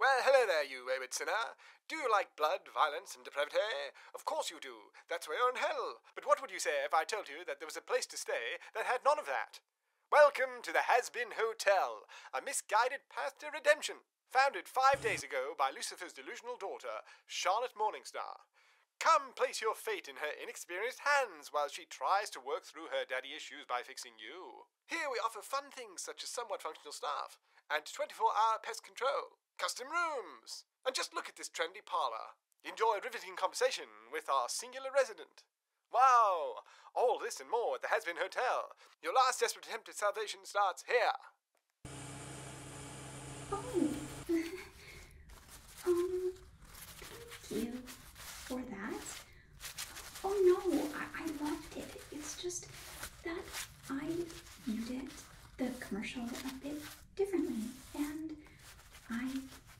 Well, hello there, you wayward sinner. Do you like blood, violence, and depravity? Of course you do. That's why you're in hell. But what would you say if I told you that there was a place to stay that had none of that? Welcome to the Has Been Hotel, a misguided path to redemption, founded five days ago by Lucifer's delusional daughter, Charlotte Morningstar. Come place your fate in her inexperienced hands while she tries to work through her daddy issues by fixing you. Here we offer fun things such as somewhat functional staff and 24 hour pest control, custom rooms, and just look at this trendy parlor. Enjoy riveting conversation with our singular resident. Wow! All this and more at the Has Hotel. Your last desperate attempt at salvation starts here. Oh. um, thank you for that. Oh no, I, loved it. It's just that I viewed it, the commercial, a bit differently, and I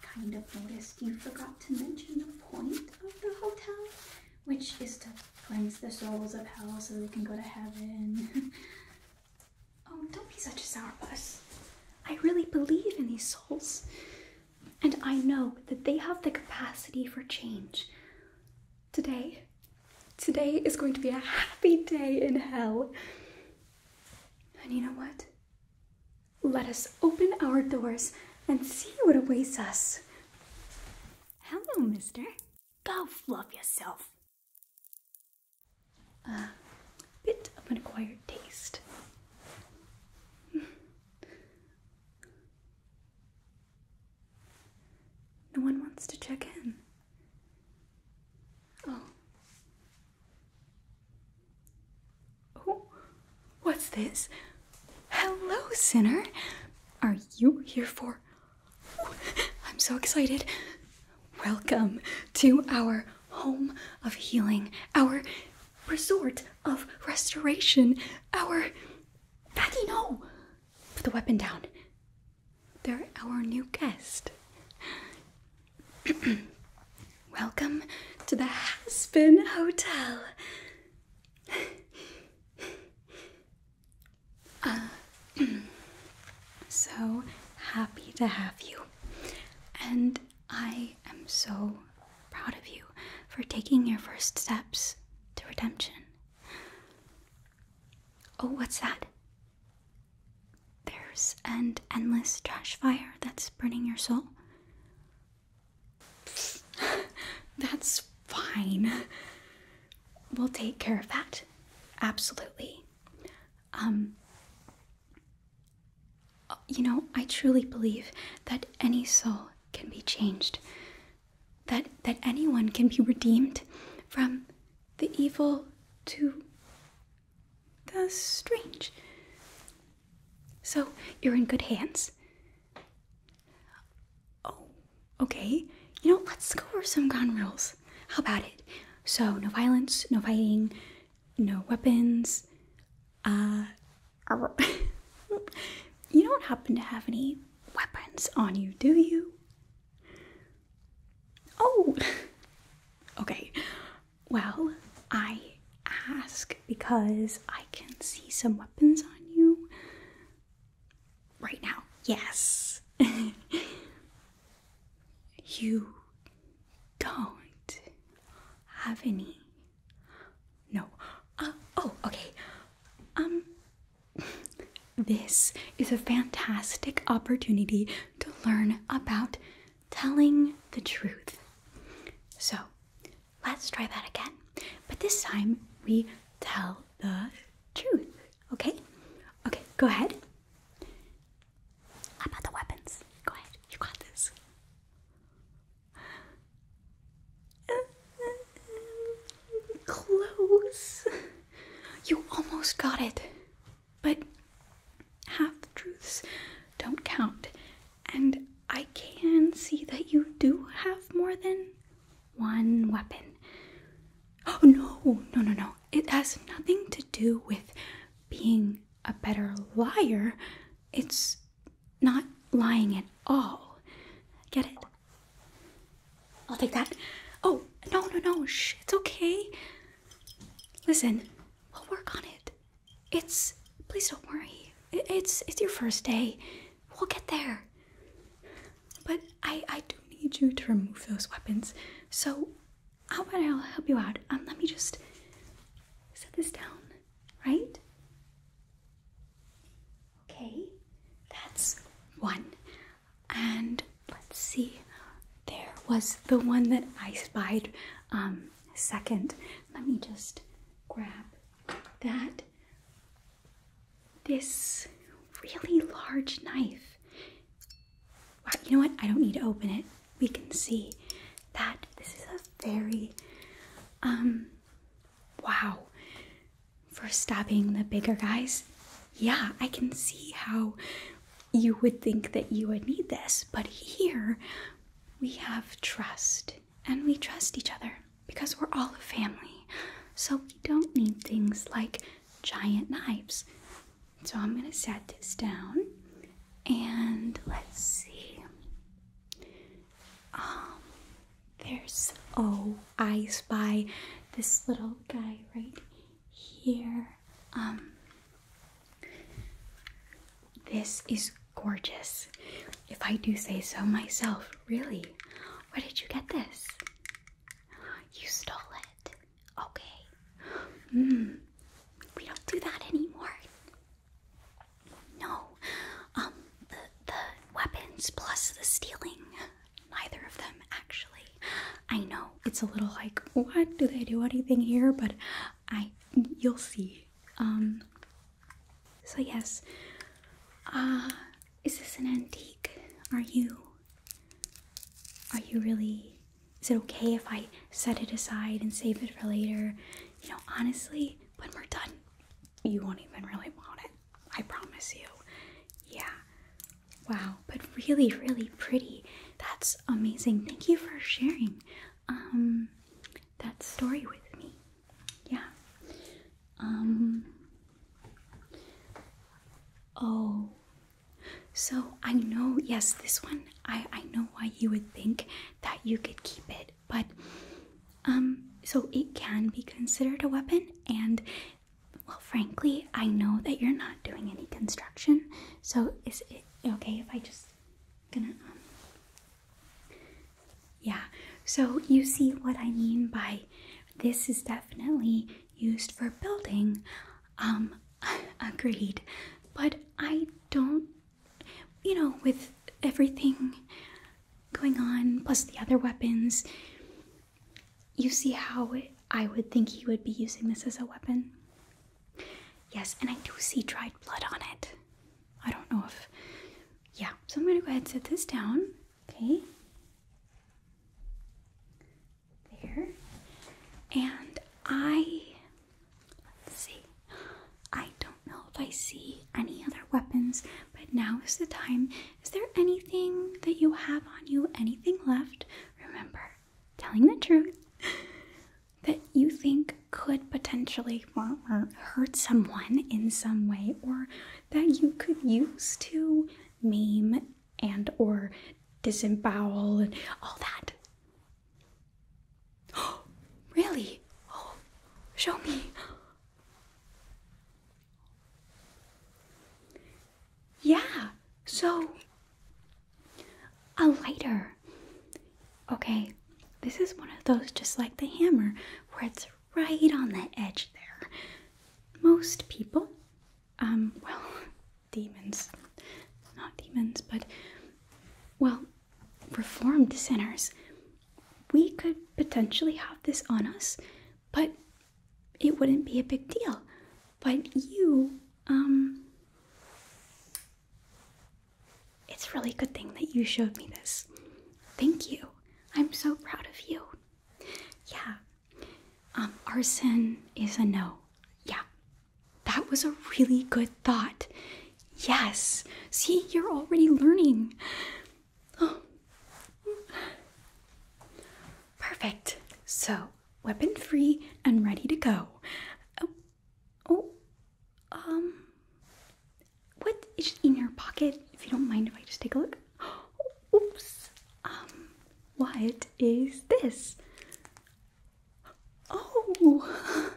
kind of noticed you forgot to mention the point of the hotel, which is to cleanse the souls of hell so they can go to heaven. oh, don't be such a sourpuss. I really believe in these souls. And I know that they have the capacity for change. Today, today is going to be a happy day in hell. And you know what? Let us open our doors and see what awaits us. Hello, mister. Go fluff yourself. A bit of an acquired taste. No one wants to check in. Oh. Oh, what's this? Hello, sinner. Are you here for? I'm so excited. Welcome to our home of healing, our resort of restoration, our Maggie, no! Put the weapon down. They're our new guest. Welcome to the Haspin Hotel. uh, so happy to have you. And I am so proud of you for taking your first steps to redemption. Oh, what's that? There's an endless trash fire that's burning your soul. that's fine. We'll take care of that. Absolutely. Um, uh, you know, I truly believe that any soul can be changed that that anyone can be redeemed from the evil to the strange. So you're in good hands. Oh, okay. You know, let's go over some gun rules. How about it? So no violence, no fighting, no weapons, uh you don't happen to have any weapons on you, do you? Oh, okay. Well, I ask because I can see some weapons on you right now. Yes. you don't have any. No. Uh, oh, okay. Um, this is a fantastic opportunity to learn about telling the truth. So let's try that again. But this time we tell the truth. Okay? Okay, go ahead. About the weapons. Go ahead. You got this. Close. You almost got it. But half truths don't count. And I can see that you do have more than one weapon. Oh, no, no, no, no. It has nothing to do with being a better liar. It's not lying at all. Get it? I'll take that. Oh, no, no, no. Shh, it's okay. Listen, we'll work on it. It's. Please don't worry. it's it's your first day. We'll get there. But I I do need you to remove those weapons. So how about I'll help you out? Um, let me just set this down, right? Okay, that's one. And let's see, there was the one that I spied um, second. Let me just grab that. This really large knife. you know what? I don't need to open it. We can see that this is a very, um, wow for stabbing the bigger guys, yeah, I can see how you would think that you would need this. But here we have trust and we trust each other because we're all a family. So we don't need things like giant knives. So I'm going to set this down and let's see. Um, there's oh, I spy this little guy right here. Um, this is gorgeous, if I do say so myself. Really, where did you get this? You stole it. Okay. Mm, we don't do that anymore. No. Um, the the weapons plus the stealing neither of them actually. I know it's a little like, what do they do anything here? But I, you'll see. Um. So yes. Uh, is this an antique? Are you? Are you really? Is it okay if I set it aside and save it for later? You know, honestly, when we're done, you won't even really want it. I promise you. Yeah. Wow, but really, really pretty. That's amazing. Thank you for sharing um that story with me. Yeah. Um Oh. So I know, yes, this one I I know why you would think that you could keep it, but um so it can be considered a weapon and well, frankly, I know that you're not doing any construction, so is it okay if I just gonna um, yeah, so you see what I mean by this is definitely used for building. Um agreed. But I don't you know, with everything going on, plus the other weapons, you see how I would think he would be using this as a weapon? Yes, and I do see dried blood on it. I don't know if. Yeah, so I'm gonna go ahead and set this down. Okay. There. And I. Let's see. I don't know if I see any other weapons, but now is the time is there anything that you have on you, anything left? Remember, telling the truth that you think could potentially hurt someone in some way or that you could use to maim and or disembowel and all that. Oh, really? Oh, show me. Yeah, so a lighter. Okay, this is one of those just like the hammer where it's right on the edge there. Most people, um, well, demons, not demons, but well, reformed sinners, we could potentially have this on us but it wouldn't be a big deal. But you, um, it's a really good thing that you showed me this. Thank you. I'm so proud of you. Yeah. Um, arson is a no. Yeah. That was a really good thought. Yes. See, you're already learning. Perfect. So, weapon free and ready to go. Oh, oh, um, what is in your pocket? If you don't mind, if I just take a look. oops. Um, what is this? Oh,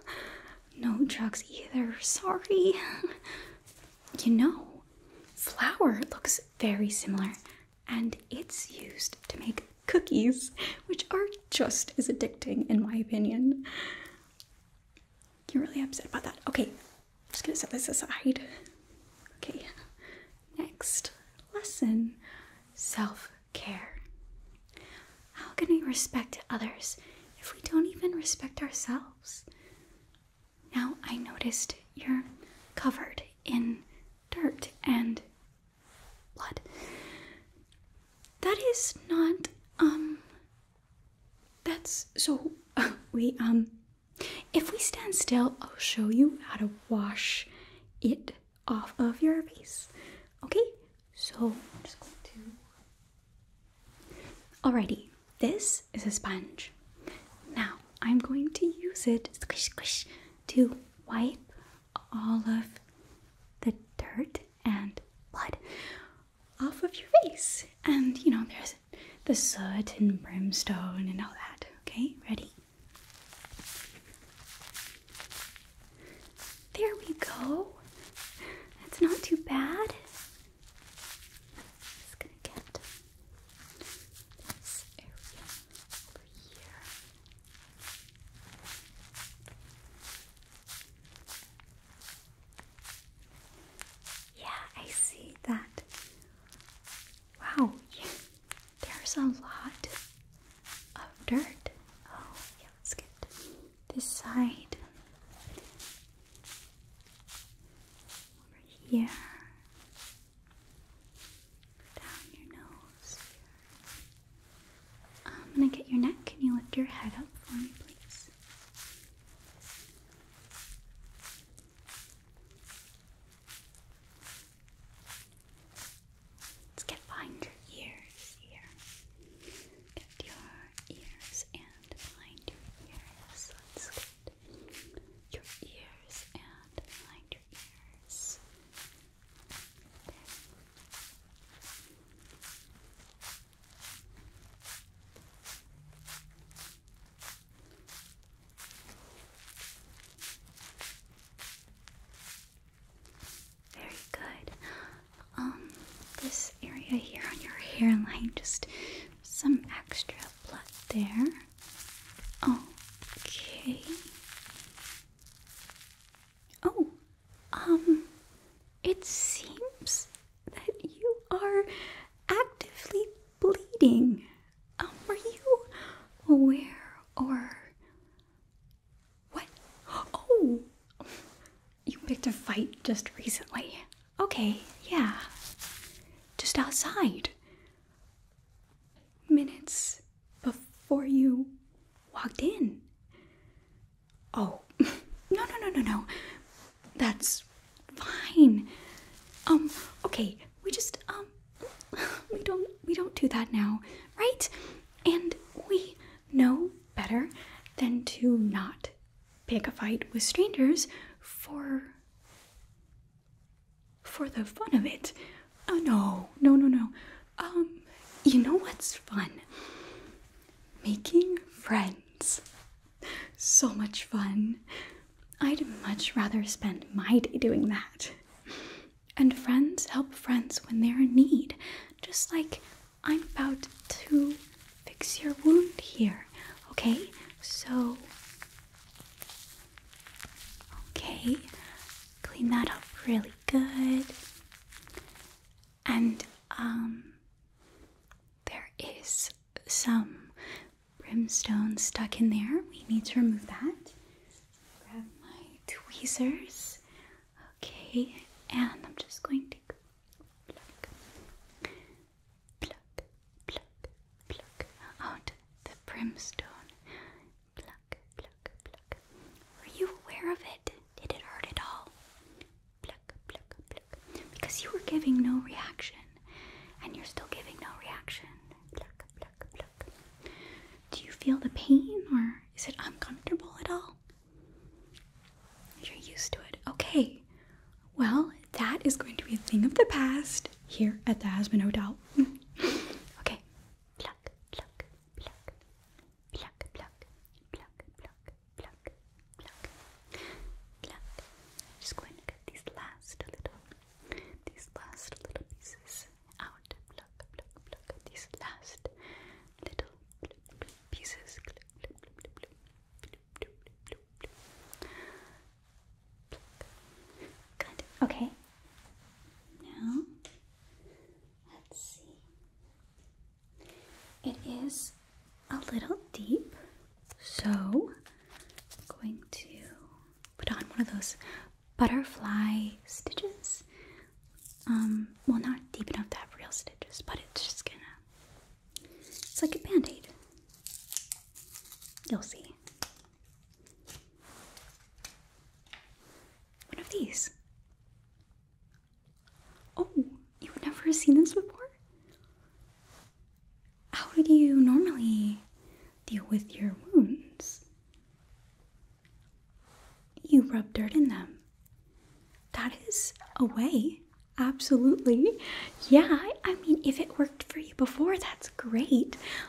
no drugs either. Sorry. You know, flour looks very similar and it's used to make cookies, which are just as addicting, in my opinion. You're really upset about that. Okay, I'm just gonna set this aside. Okay, next lesson self care. How can we respect others if we don't even respect ourselves? Now I noticed you're covered in dirt and blood. That is not, um, that's so. Uh, we, um, if we stand still, I'll show you how to wash it off of your face. Okay? So, I'm just going to. Alrighty. This is a sponge. Now I'm going to use it squish squish to wipe all of the dirt and blood off of your face. And you know, there's the soot and brimstone and all that. Okay, ready? There we go. That's not too bad. Just gonna get yeah, I see that. Wow, yeah, there's a lot of dirt. Oh, yeah, let's get this side over here down your nose. I'm gonna get your neck. Can you lift your head up for me, please? Let's get behind your ears here. Get your ears and behind your ears. Let's your ears and behind your ears. Very good. Um, this area here on your hairline, just some extra blood there. Okay. Oh, um, it seems that you are actively bleeding. Um, were you aware or what? Oh, you picked a fight just recently. Okay, yeah. Just outside minutes before you walked in. Oh, no, no, no, no, no. That's fine. Um, okay, we just, um, we don't, we don't do that now, right? And we know better than to not pick a fight with strangers for for the fun of it. Oh, no, no, no, no. Um, you know what's fun? Making friends. So much fun. I'd much rather spend my day doing that. And friends help friends when they're in need, just like I'm about to fix your wound here, okay? So Okay, clean that up really good. And um, there is some brimstone stuck in there. We need to remove that. Grab my tweezers. Okay, and I'm just going to pluck, out the brimstone. Pluck, Were you aware of it? Did it hurt at all? Because you were giving no reaction, and you're still giving no reaction. Do you feel the pain, or is it uncomfortable at all? You're used to it. Okay. Well, that is going to be a thing of the past here at the Aspen Hotel okay. Just going to get these last little, these last little pieces out. These last little pieces. Good. Okay. Now, let's see. It is a little deep, so I'm going to put on one of those butterfly stitches. Um, well, not deep enough to have real stitches, but it's just gonna. It's like a band aid. You'll see. One of these. Oh, you've never seen this before? How do you normally deal with your wounds? You rub dirt in them. That is a way. Absolutely. Yeah, I mean, if it worked for you before, that's great.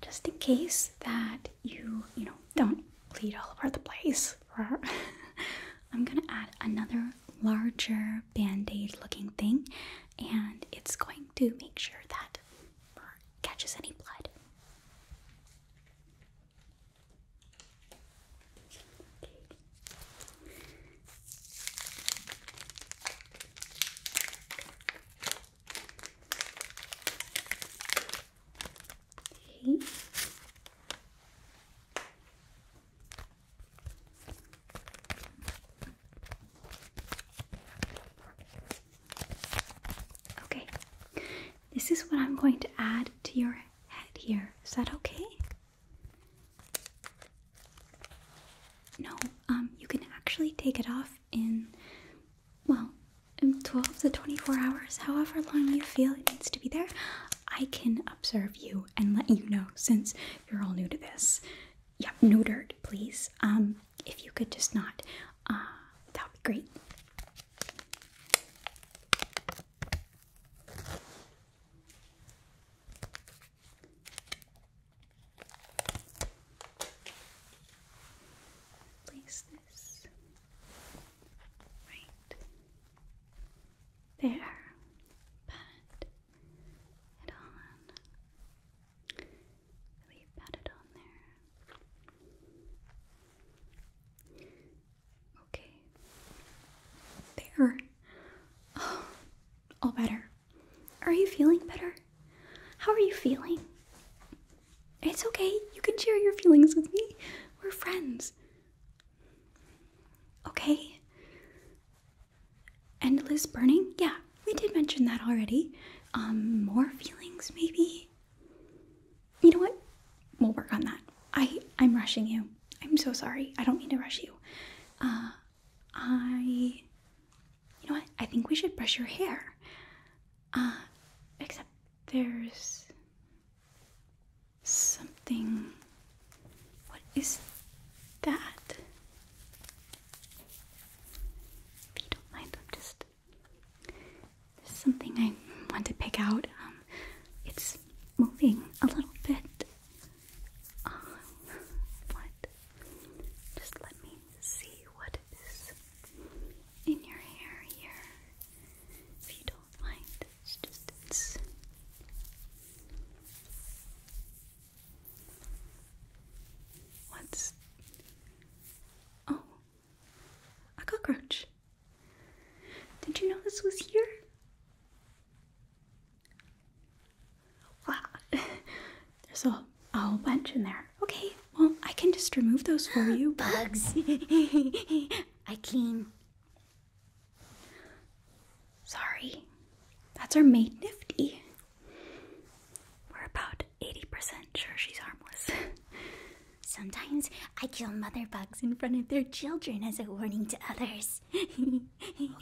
Just in case that you, you know, don't bleed all over the place, I'm gonna add another larger band-aid looking thing and it's going to make sure that catches any blood. Okay. Okay, this is what I'm going to add to your head here. Is that okay? No, um, you can actually take it off in, well, in 12 to 24 hours, however long you feel it needs to be there. I can observe you and let you know since you're all new to this. Yeah, no dirt, please. Um, if you could just not, uh, that would be great. Place this right there. Pat it on. Really pat it on there. Okay. There. Oh, all better. Are you feeling better? How are you feeling? It's okay. You can share your feelings with me. We're friends. Okay? Endless burning? Yeah, we did mention that already. Um, more feelings, maybe? You know what? We'll work on that. I, I'm rushing you. I'm so sorry. I don't mean to rush you. Uh, I you know what? I think we should brush your hair. Uh, except there's something. What is that? If you don't mind, I'm just. something I want to pick out. Um, it's moving a little bit. Uh, what? Just let me see what is in your hair here. If you don't mind, it's just it's what's oh a cockroach. Did you know this was here? Wow, there's a, a whole bunch in there. Okay, well, I can just remove those for you. Bugs! I clean. Sorry, that's our maid Nifty. We're about 80% sure she's harmless. Sometimes I kill mother bugs in front of their children as a warning to others.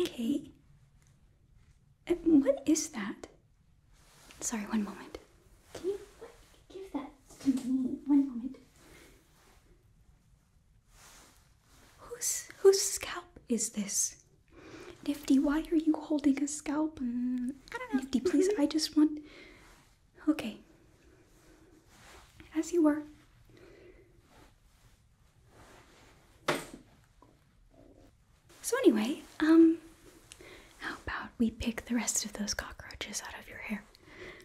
okay. Eh, what is that? Sorry, one moment. Can you give that to me? One moment. Whose whose scalp is this? Nifty, why are you holding a scalp? Mm, I don't know. Nifty, please, mm-hmm. I just want. Okay. As you were. So, anyway, um, how about we pick the rest of those cockroaches out of your hair?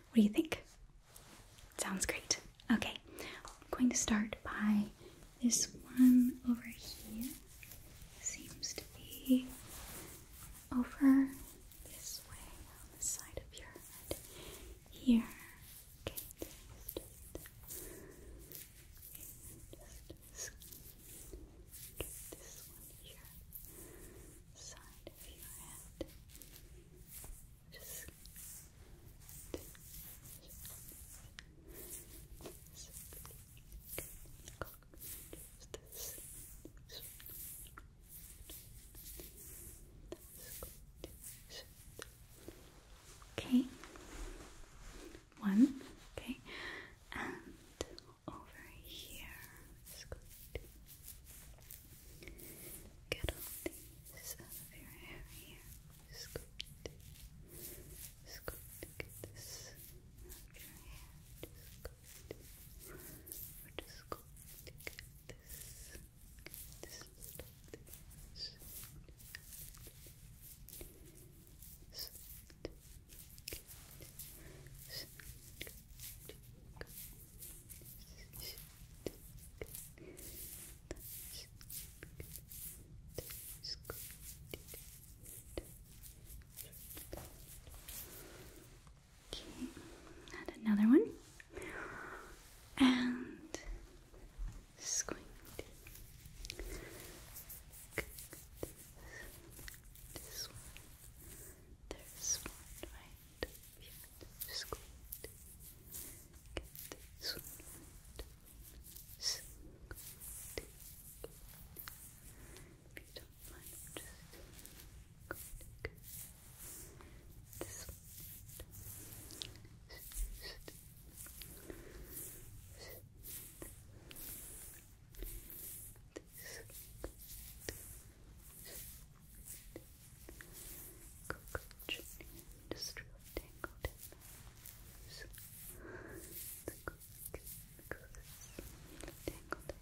What do you think? Sounds great. Okay, I'm going to start by this one over here. Seems to be over this way on the side of your head. Here just get this one here, side of your head. Just Okay, one, okay, and over here is going to get all these out of your hair here. Just going to, just get this out your hair. Just going to, just going this, this, Okay, add another one. And Good. This one. There's one right here. Just go ahead. Get this one right. So good. If you don't mind, I'm just go ahead. Good. This one right. Just, just, just, Cockroach industrial tangled in the The cockroach tangled in the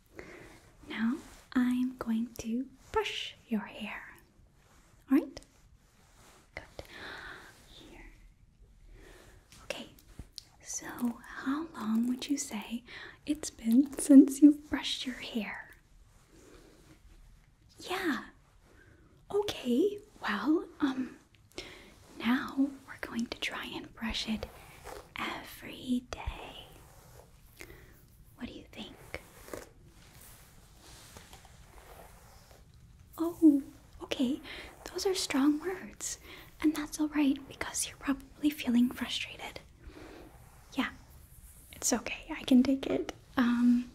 Now I'm going to brush your hair. Alright? Good. Here. Okay, so how long would you say it's been since you've brushed your hair? Yeah. Okay, well, um, now we're going to try and brush it every day. What do you think? Oh, okay. Those are strong words. And that's alright because you're probably feeling frustrated. Yeah, it's okay. I can take it. Um,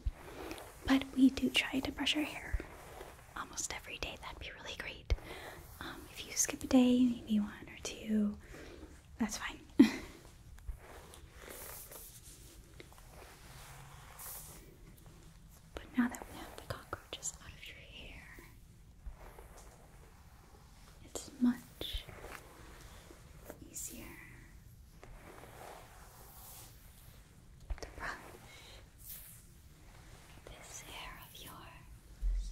but we do try to brush our hair almost every day. That'd be really great. Um, if you skip a day, maybe one or two, that's fine. but now that we have the cockroaches out of your hair, it's much easier to brush this hair of yours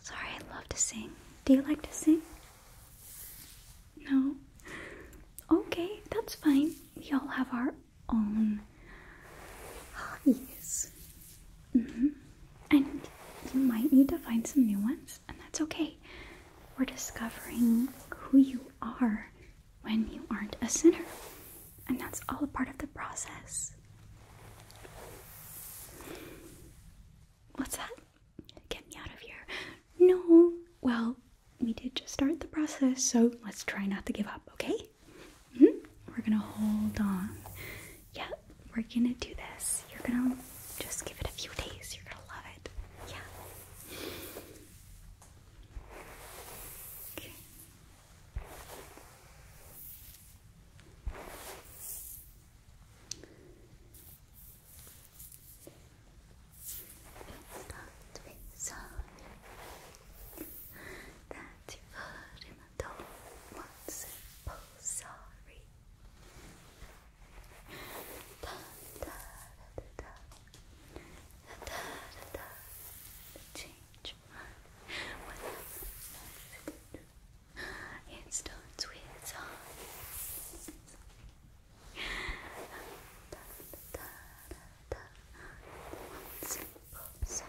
Sorry, I love to sing. Do you like to sing? No? Okay, that's fine. We all have our own hobbies. Mm-hmm. And you might need to find some new ones, and that's okay. We're discovering who you are when you aren't a sinner. And that's all a part of the process. What's that? Get me out of here. No. Well, we did just start the process, so let's try not to give up, okay? -hmm. We're gonna hold on. Yep. we're gonna do this. You're gonna just give it a few days. You're gonna love it. Yeah. Okay. Start with sound that you've heard in the dawn once and pull Da, da, da, da, da, da, da, da, da, change much. it starts with song. simple song.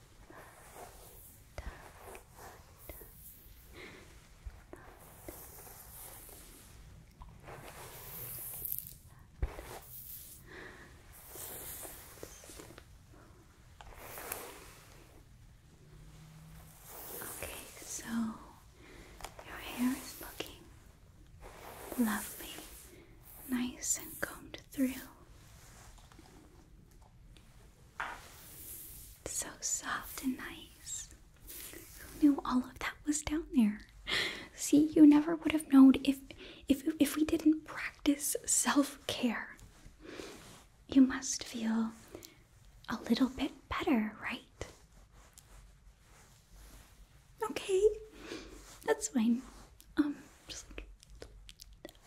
Okay, so your hair is looking lovely, nice and combed through. So soft and nice. Who knew all of that was down there? See, you never would have known if if if we didn't practice self-care. You must feel a little bit better, right? Okay. That's fine. Um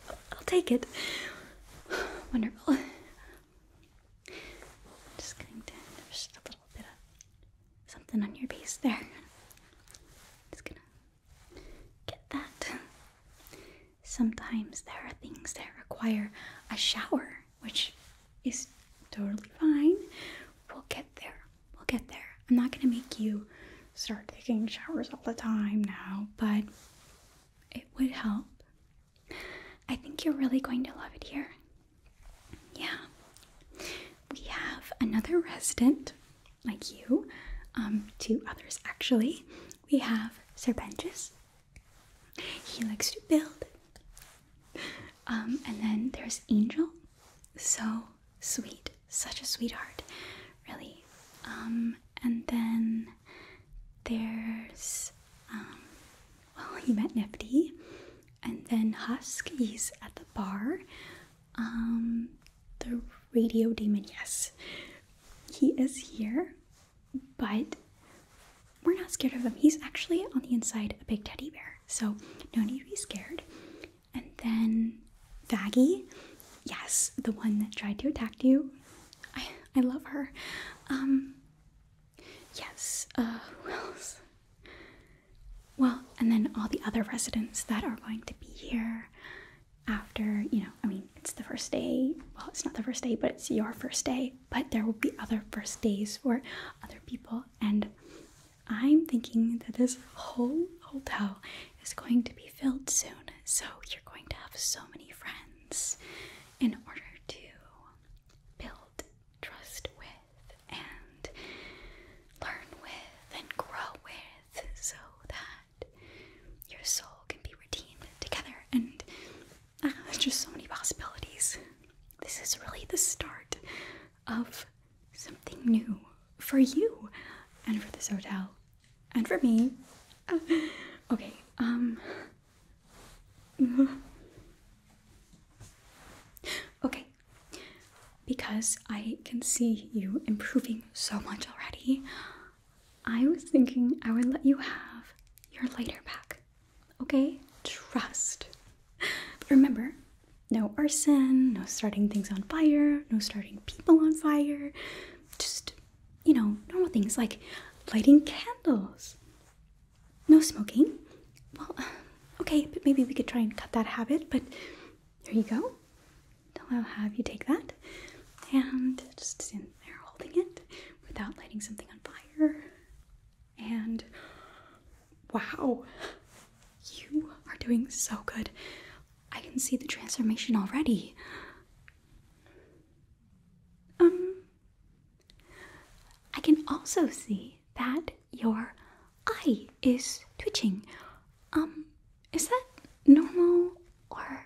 I'll take it. Wonderful. Just going to just a little bit of something on your base there. Just gonna get that. Sometimes there are things that require a shower, which is totally fine. We'll get there. We'll get there. I'm not gonna make you start taking showers all the time now, but it would help. I think you're really going to love it here. Yeah. We have another resident like you, um, two others actually. We have Sir Benjus. He likes to build. Um, and then there's Angel. So sweet, such a sweetheart, really. Um, and then there's um, well he met Nifty, and then Husk at the bar. Um, the radio demon, yes, he is here, but we're not scared of him. He's actually on the inside a big teddy bear, so no need to be scared. And then Vaggy, yes, the one that tried to attack you, I I love her. Um, yes, uh, Well, and then all the other residents that are going to be here after, you know, I mean, it's the first day. Well, it's not the first day, but it's your first day. But there will be other first days for other people. And I'm thinking that this whole hotel is going to be filled soon. So you're going to have so many friends in order to build trust with and learn with and grow with so that your soul can be redeemed together. And ah, there's just so many possibilities. This is really the start of something new for you and for this hotel and for me. okay, um, okay, because I can see you improving so much already, I was thinking I would let you have your lighter back. Okay? Trust. But remember, no arson, no starting things on fire, no starting people on fire. Just you know, normal things like lighting candles. No smoking. Well, okay, but maybe we could try and cut that habit, but there you go. I'll have you take that and just stand there holding it without lighting something on fire. And wow, you are doing so good. I can see the transformation already. Um, I can also see that your eye is twitching. Um, is that normal or.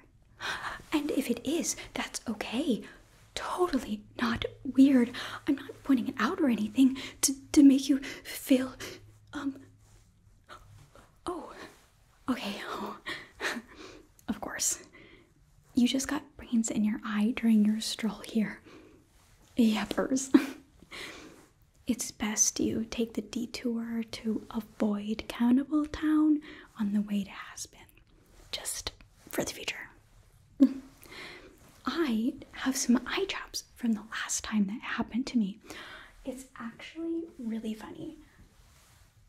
And if it is, that's okay. Totally not weird. I'm not pointing it out or anything to, to make you feel. Um. Oh, Okay, of course. You just got brains in your eye during your stroll here. Yappers. it's best you take the detour to avoid Cannibal Town on the way to Aspen, just for the future. I have some eye drops from the last time that happened to me. It's actually really funny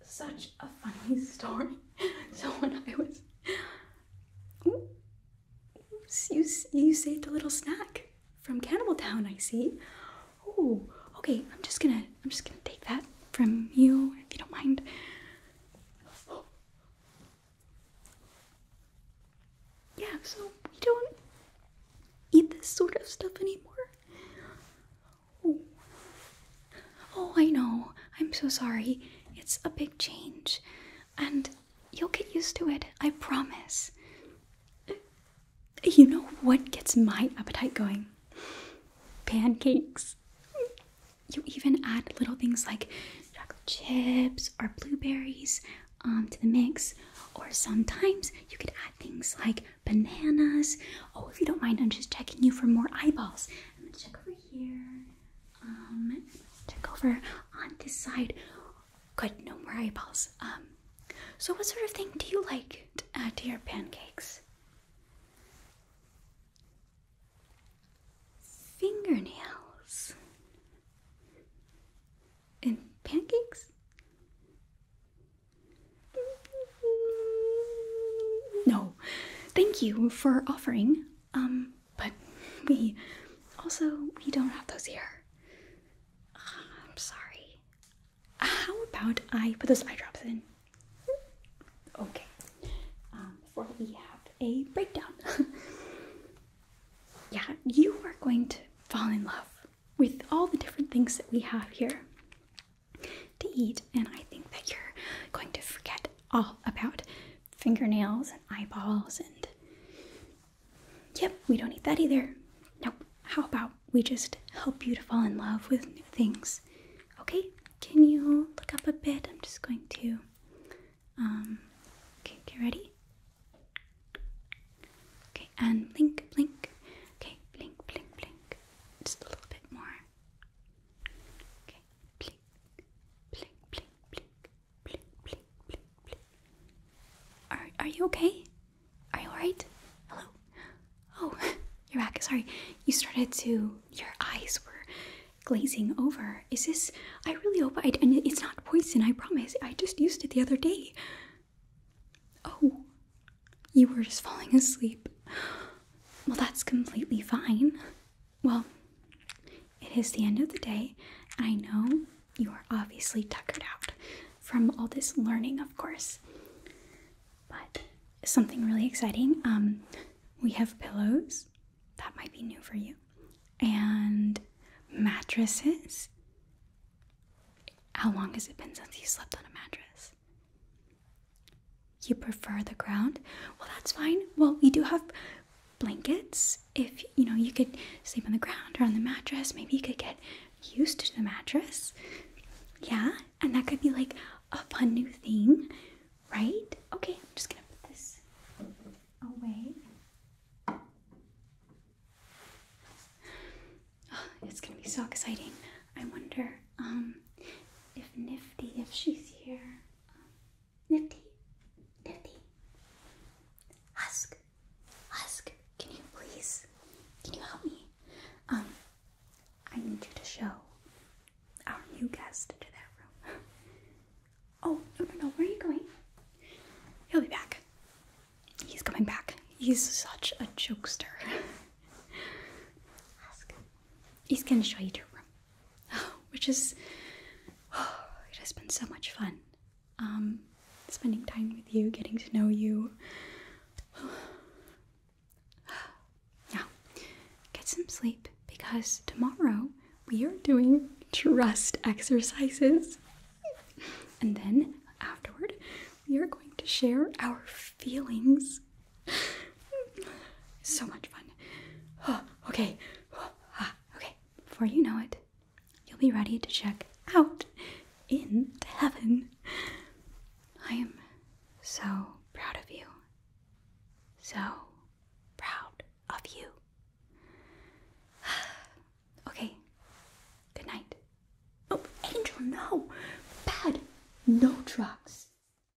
such a funny story. So when I was, Ooh. you you saved a little snack from Cannibal Town. I see. Oh, okay. I'm just gonna I'm just gonna take that from you if you don't mind. Yeah. So we don't eat this sort of stuff anymore. Oh, oh. I know. I'm so sorry. It's a big change. And you'll get used to it, I promise. You know what gets my appetite going? Pancakes. You even add little things like chocolate chips or blueberries um, to the mix. Or sometimes you could add things like bananas. Oh, if you don't mind, I'm just checking you for more eyeballs. I'm gonna check over here. Um, check over on this side. Good, no more eyeballs. Um, so what sort of thing do you like to add uh, to your pancakes? Fingernails in pancakes? No, thank you for offering. Um, but we also we don't have those here. Ah, I'm sorry. How about I put those eye drops in? Okay. Um, before we have a breakdown. yeah, you are going to fall in love with all the different things that we have here to eat, and I think that you're going to forget all about fingernails and eyeballs and. Yep, we don't need that either. Nope. How about we just help you to fall in love with new things? Okay, can you look up a bit? I'm just going to. Um, okay, get ready. Okay, and blink, blink. Okay, blink, blink, blink. Just a little bit more. Are Are you okay? Are you alright? Hello. Oh, you're back. Sorry, you started to. Your eyes were glazing over. Is this? I really hope it's not poison. I promise. I just used it the other day. Oh, you were just falling asleep. Well, that's completely fine. Well, it is the end of the day. I know you are obviously tuckered out from all this learning, of course. But something really exciting um, we have pillows, that might be new for you, and mattresses. How long has it been since you slept on a mattress? You prefer the ground? Well, that's fine. Well, we do have blankets. If you know, you could sleep on the ground or on the mattress. Maybe you could get used to the mattress. Yeah, and that could be like a fun new thing, right? Okay, I'm just gonna put this away. it's gonna be so exciting. I wonder um, if Nifty, if she's here, um, Nifty, Nifty, Husk, Husk, can you please, can you help me? Um, I need you to show our new guest to that room. oh, no, no, no, where are you going? He'll be back. He's coming back. He's such a jokester. He's gonna show you to room. which has been so much fun. Um, spending time with you, getting to know you. Now, get some sleep because tomorrow we are doing trust exercises. And then afterward, we are going to share our feelings so much fun. Oh, okay. Ah, okay. Before you know it, you'll be ready to check out into heaven. I am so proud of you. So proud of you. okay. Good night. Oh, Angel, no. Bad. No drugs.